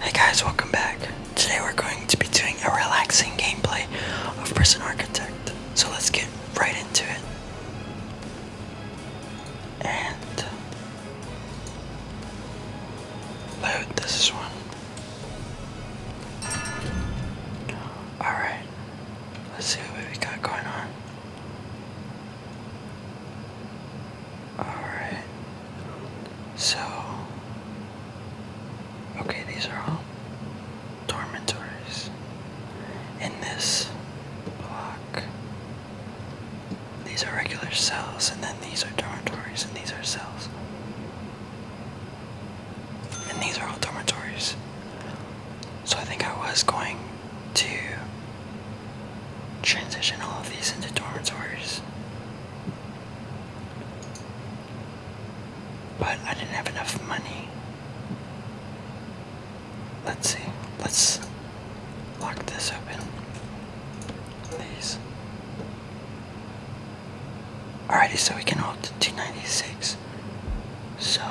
Hey guys, welcome back. Today we're going to be doing a relaxing gameplay of Prison Architect. So let's get right into it. And load this one. Alright, let's see what we got going on. Alright. So. Okay, these are all dormitories. In this block, these are regular cells, and then these are dormitories, and these are cells. And these are all dormitories. So I think I was going to transition all of these into dormitories. But I didn't have enough money. Let's see. Let's lock this open. These. Alrighty, so we can hold to 296. So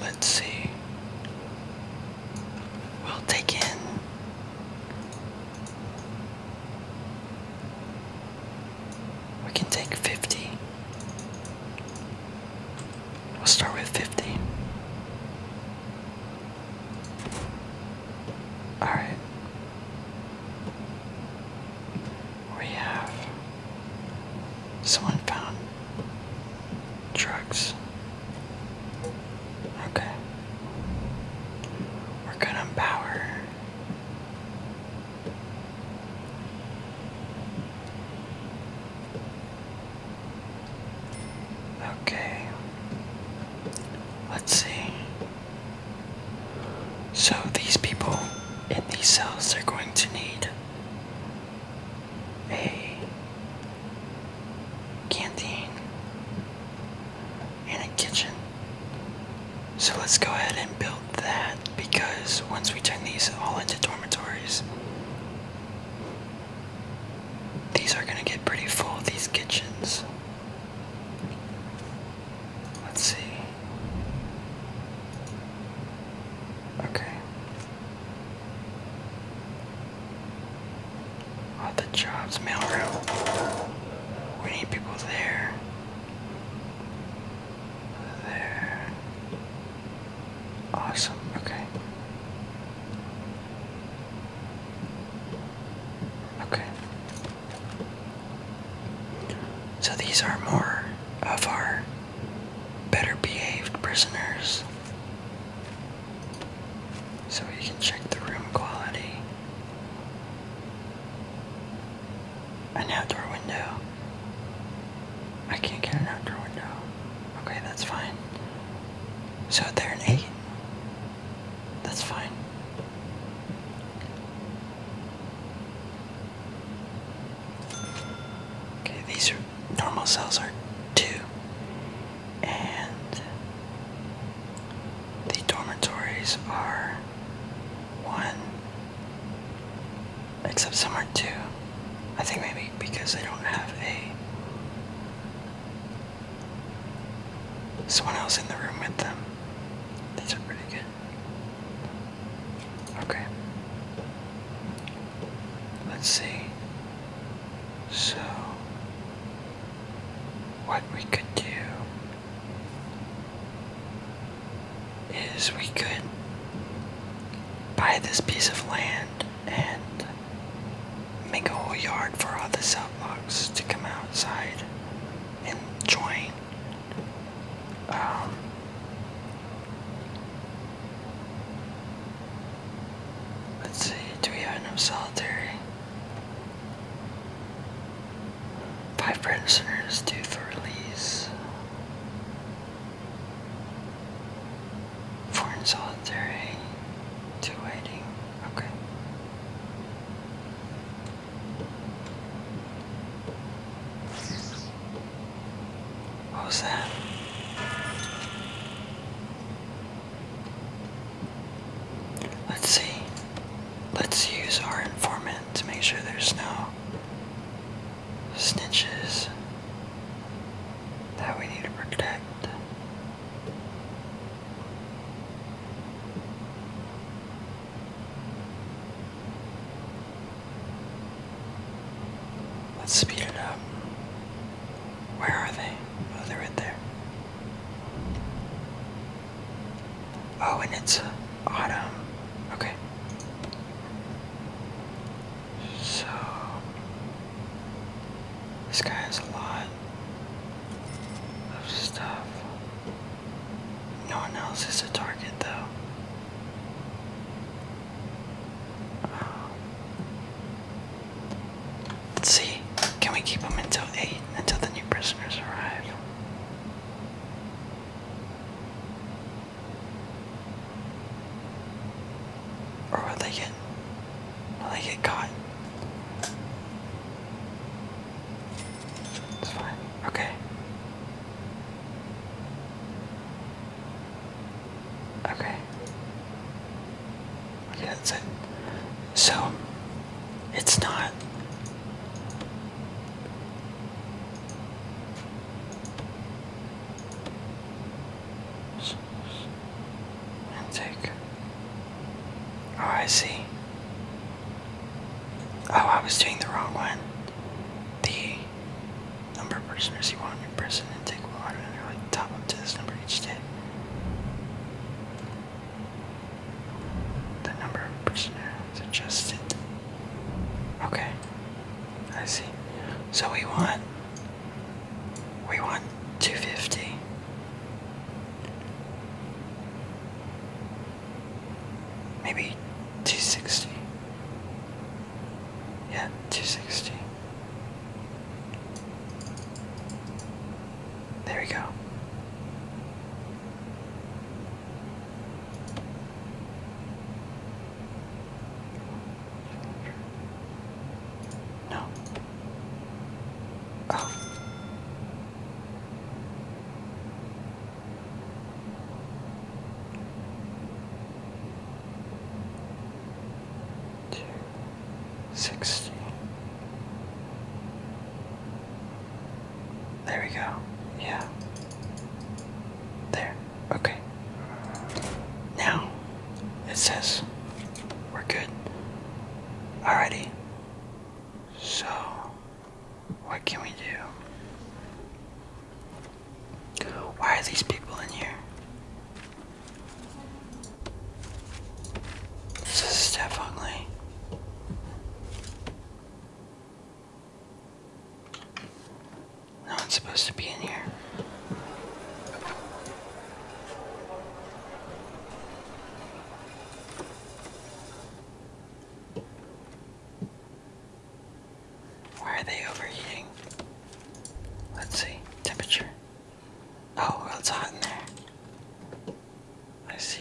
let's see. We'll take in we can take 50. We'll start with 50. Alright. We have someone found drugs. Okay. We're good on power. Okay. Let's see. So these people in these cells are going to need a canteen and a kitchen. So let's go ahead and build that because once we turn these all into dormitories, these are going to get pretty full, these kitchens. Let's see. Okay. All the jobs, mailroom, We need people there. There. Awesome, okay. Okay. So these are more of our better behaved prisoners. So you can check the room quality. An outdoor window. I can't get an outdoor window. Okay, that's fine. So they're 8. That's fine. Okay, these are normal cells are two, and the dormitories are one, except some are two. I think maybe because they don't have a someone else in the room with them. These are pretty good. Okay. Let's see. So, what we could do is we could buy this piece of land and make a whole yard for all the Southbox to come outside and join. Um, Let's see, do we have enough solitary? Five prisoners due for release. Four in solitary, two waiting. Okay. What was that? Let's see. Let's use our informant to make sure there's no snitches that we need to protect. Let's speed it up. Where are they? Oh, they're right there. Oh, and it's uh, autumn. Okay. So, this guy has a lot of stuff. No one else is a target, though. Let's see. Can we keep them until 8? Until the new prisoners arrive? Or will they get will they get caught? It's fine. Okay. Okay. Okay, that's it. So, it's not. Intake. Oh, I see. Oh, I was doing the wrong one. The number of prisoners you want in your prison and take one and really top up to this number each day. The number of prisoners adjusted. Okay. I see. So we want we want 250. Maybe 260. Yeah, 260. There we go. No. Oh to There we go. Yeah. There. Okay. Now it says we're good. Alrighty. So what can we do? Why are these people in here? This is Steph definitely. No one's supposed to be in here. Why are they overheating? Let's see. Temperature. Oh, well, it's hot in there. I see.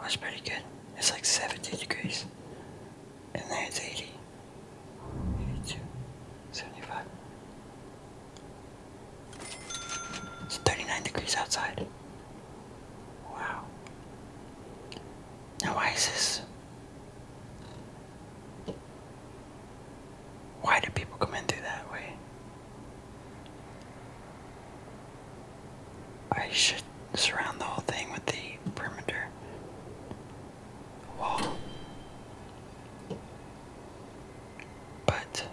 that's pretty good. It's like 70 degrees. And there it's 80. 82. 75. It's 39 degrees outside. Wow. Now, ISIS. Why do people come in through that way? I should surround the whole thing with the perimeter wall. But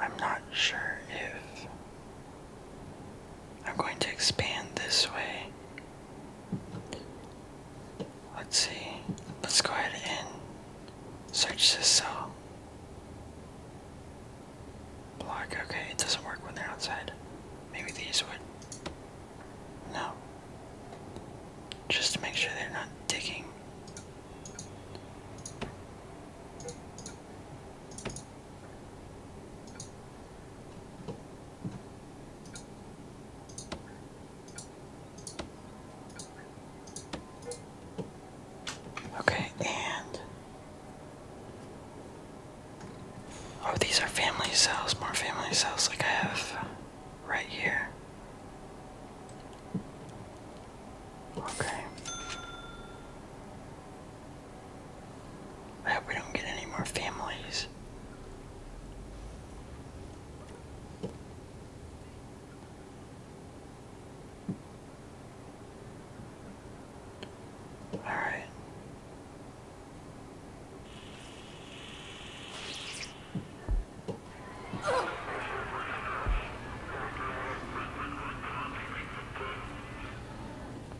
I'm not sure if I'm going to expand this way. Let's see. Let's go ahead and search this cell. Block, okay, it doesn't work when they're outside. Maybe these would. No. Just to make sure they're not digging. Okay, and oh, these are family cells, more family cells like I have right here. Okay. I hope we don't get any more families. All right.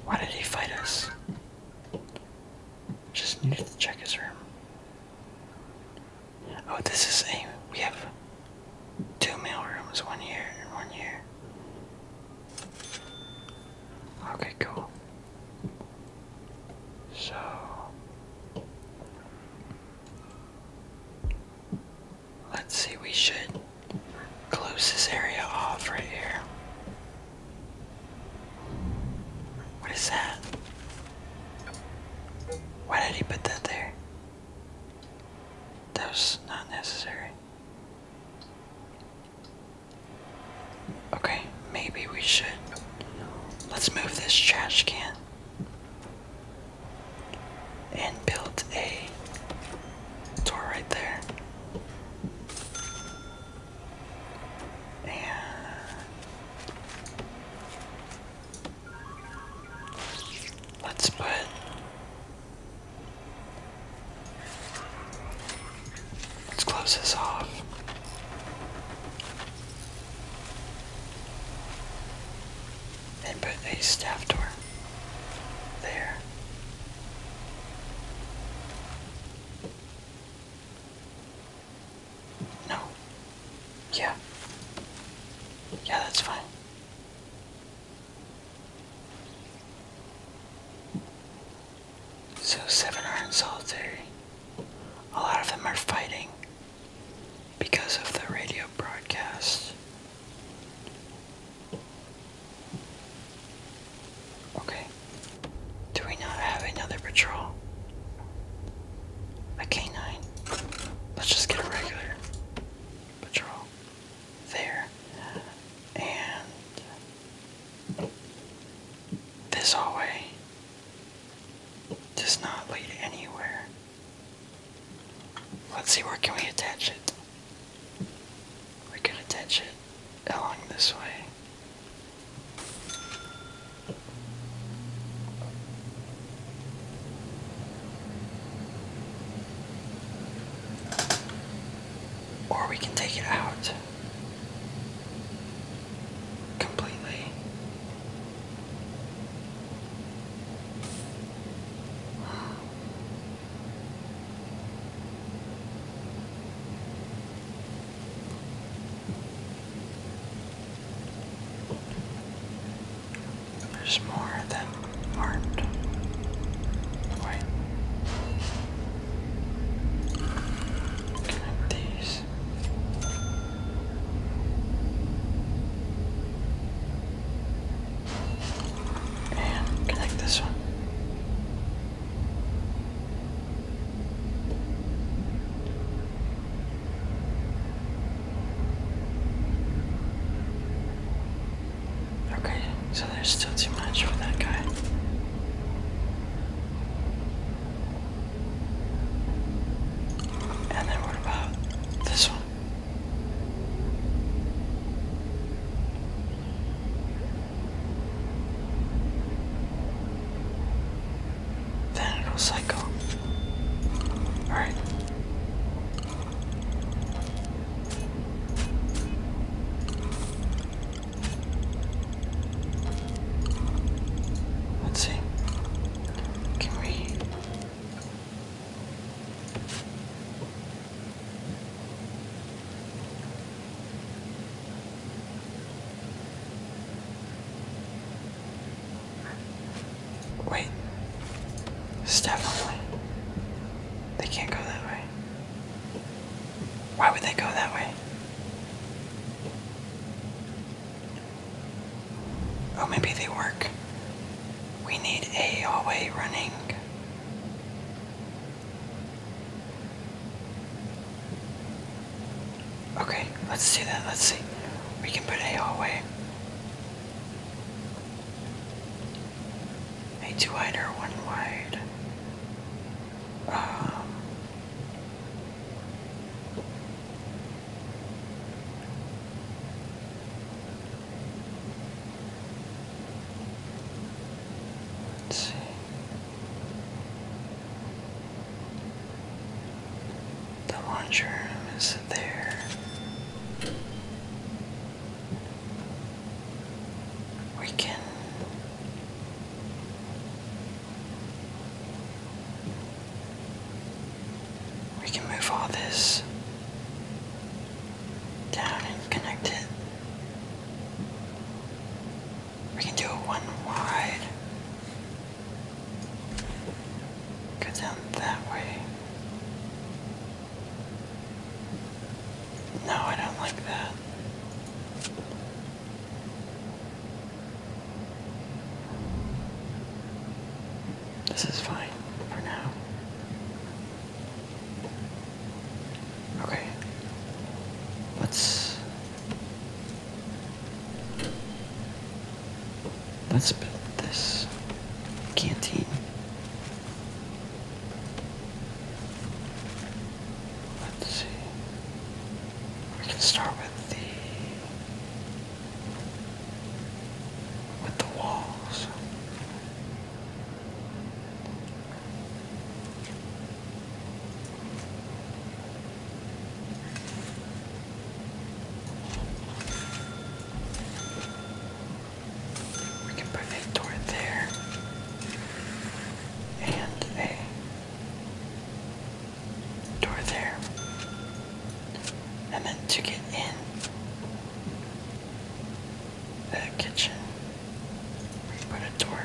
Why did he fight us? Just need to check his room. Oh, this is a. We have two mail rooms, one here and one here. Okay, cool. So. Let's see, we should close this area off right here. What is that? Why did he put that there? That was not necessary. Okay, maybe we should. Let's move this trash can and built a door right there. And let's put Let's close this off and put a staff door there. No. Yeah. Yeah, that's fine. So seven are in solitary. A lot of them are fighting because of the radio broadcast. Okay. Do we not have another patrol? A canine. Let's just get a regular patrol there. And this hallway does not lead anywhere. Let's see where can we attach it. We can attach it along this way. Or we can take it out completely. There's more that aren't quite like these. And connect this one. Okay, so there's still too much for that guy. And then what about this one? Then it'll cycle. Oh. Alright. Let's see. Can we Wait, definitely. They can't go that way. Why would they go that way? Oh, maybe they work. We need a hallway running. Okay, let's see that. Let's see. We can put a hallway. A two wider, one wide. Um, the us room is there. We can we can move all this down and connect it. We can do a one wide. Go down that way. No, I don't like that. This is fine for now. Okay. Let's Let's build this canteen. Let's see. We can start with the with the walls. We can put a door there and a door there. and then to get in the kitchen. Put a door.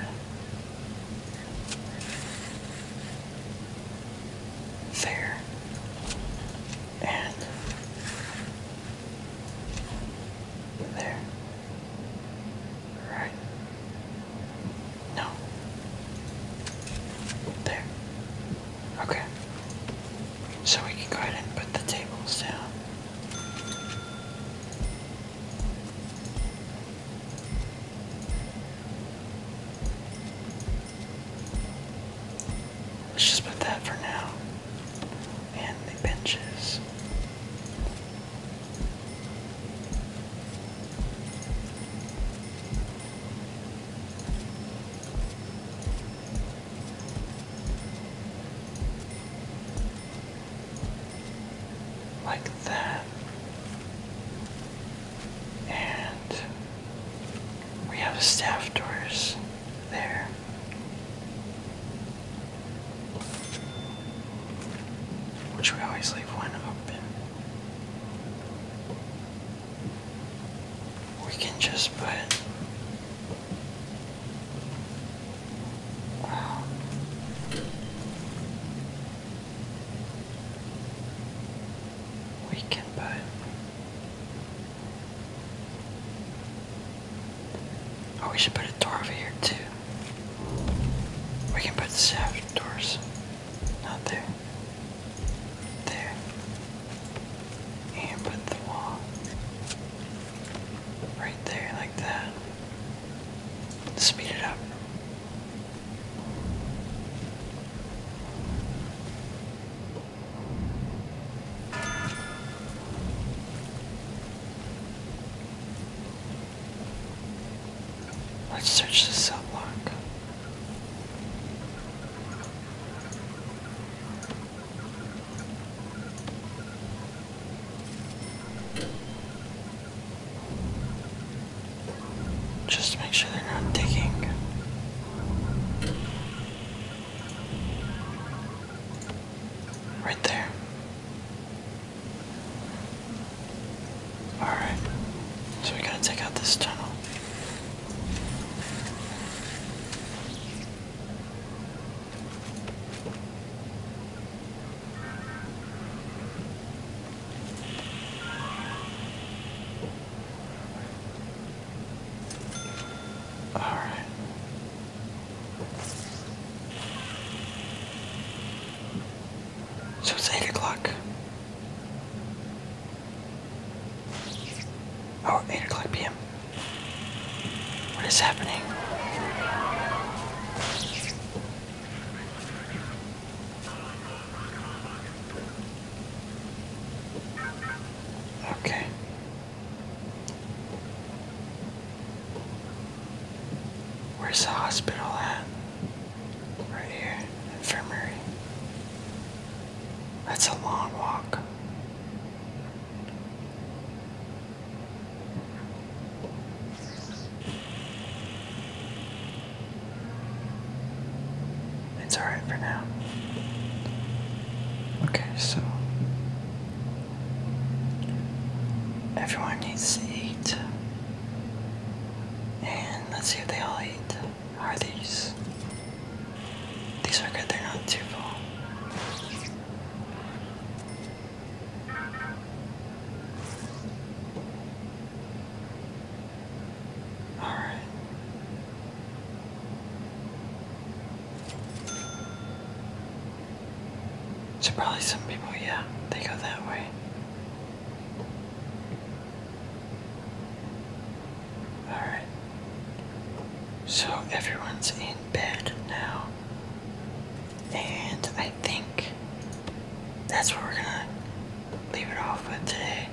There. And there. Right. No. There. Okay. So we can go ahead and put the tables down. Let's just put that for now. And the benches like that. And we have a staff doors there. Which we always leave one open we can just put um, we can put oh we should put a door over here too we can put the outdoors. doors not there. There. And put the wall right there, like that. Speed it up. Let's search the cell block. Just make sure they're not digging. Right there. Alright. So we gotta take out this tunnel. All right. So it's eight o'clock. Oh, eight o'clock p.m. What is happening? Okay. Where's the hospital at? Right here, infirmary. That's a long walk. It's alright for now. Okay, so everyone needs to eat. And let's see if they all eat are these? These are good, they're not too full. Alright. So probably some people, yeah, they go that way. Alright. So everyone's in bed now. And I think that's what we're gonna leave it off with today.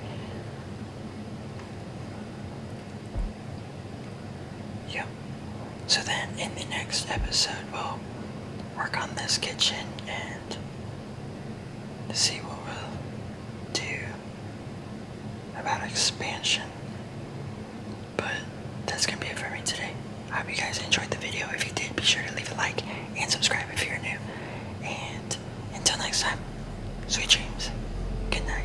Yep. So then in the next episode, we'll work on this kitchen and to see what we'll do about expansion. But that's gonna be it for me today. I hope you guys enjoyed the video. If you did, be sure to leave a like and subscribe if you're new. And until next time, sweet dreams. Good night.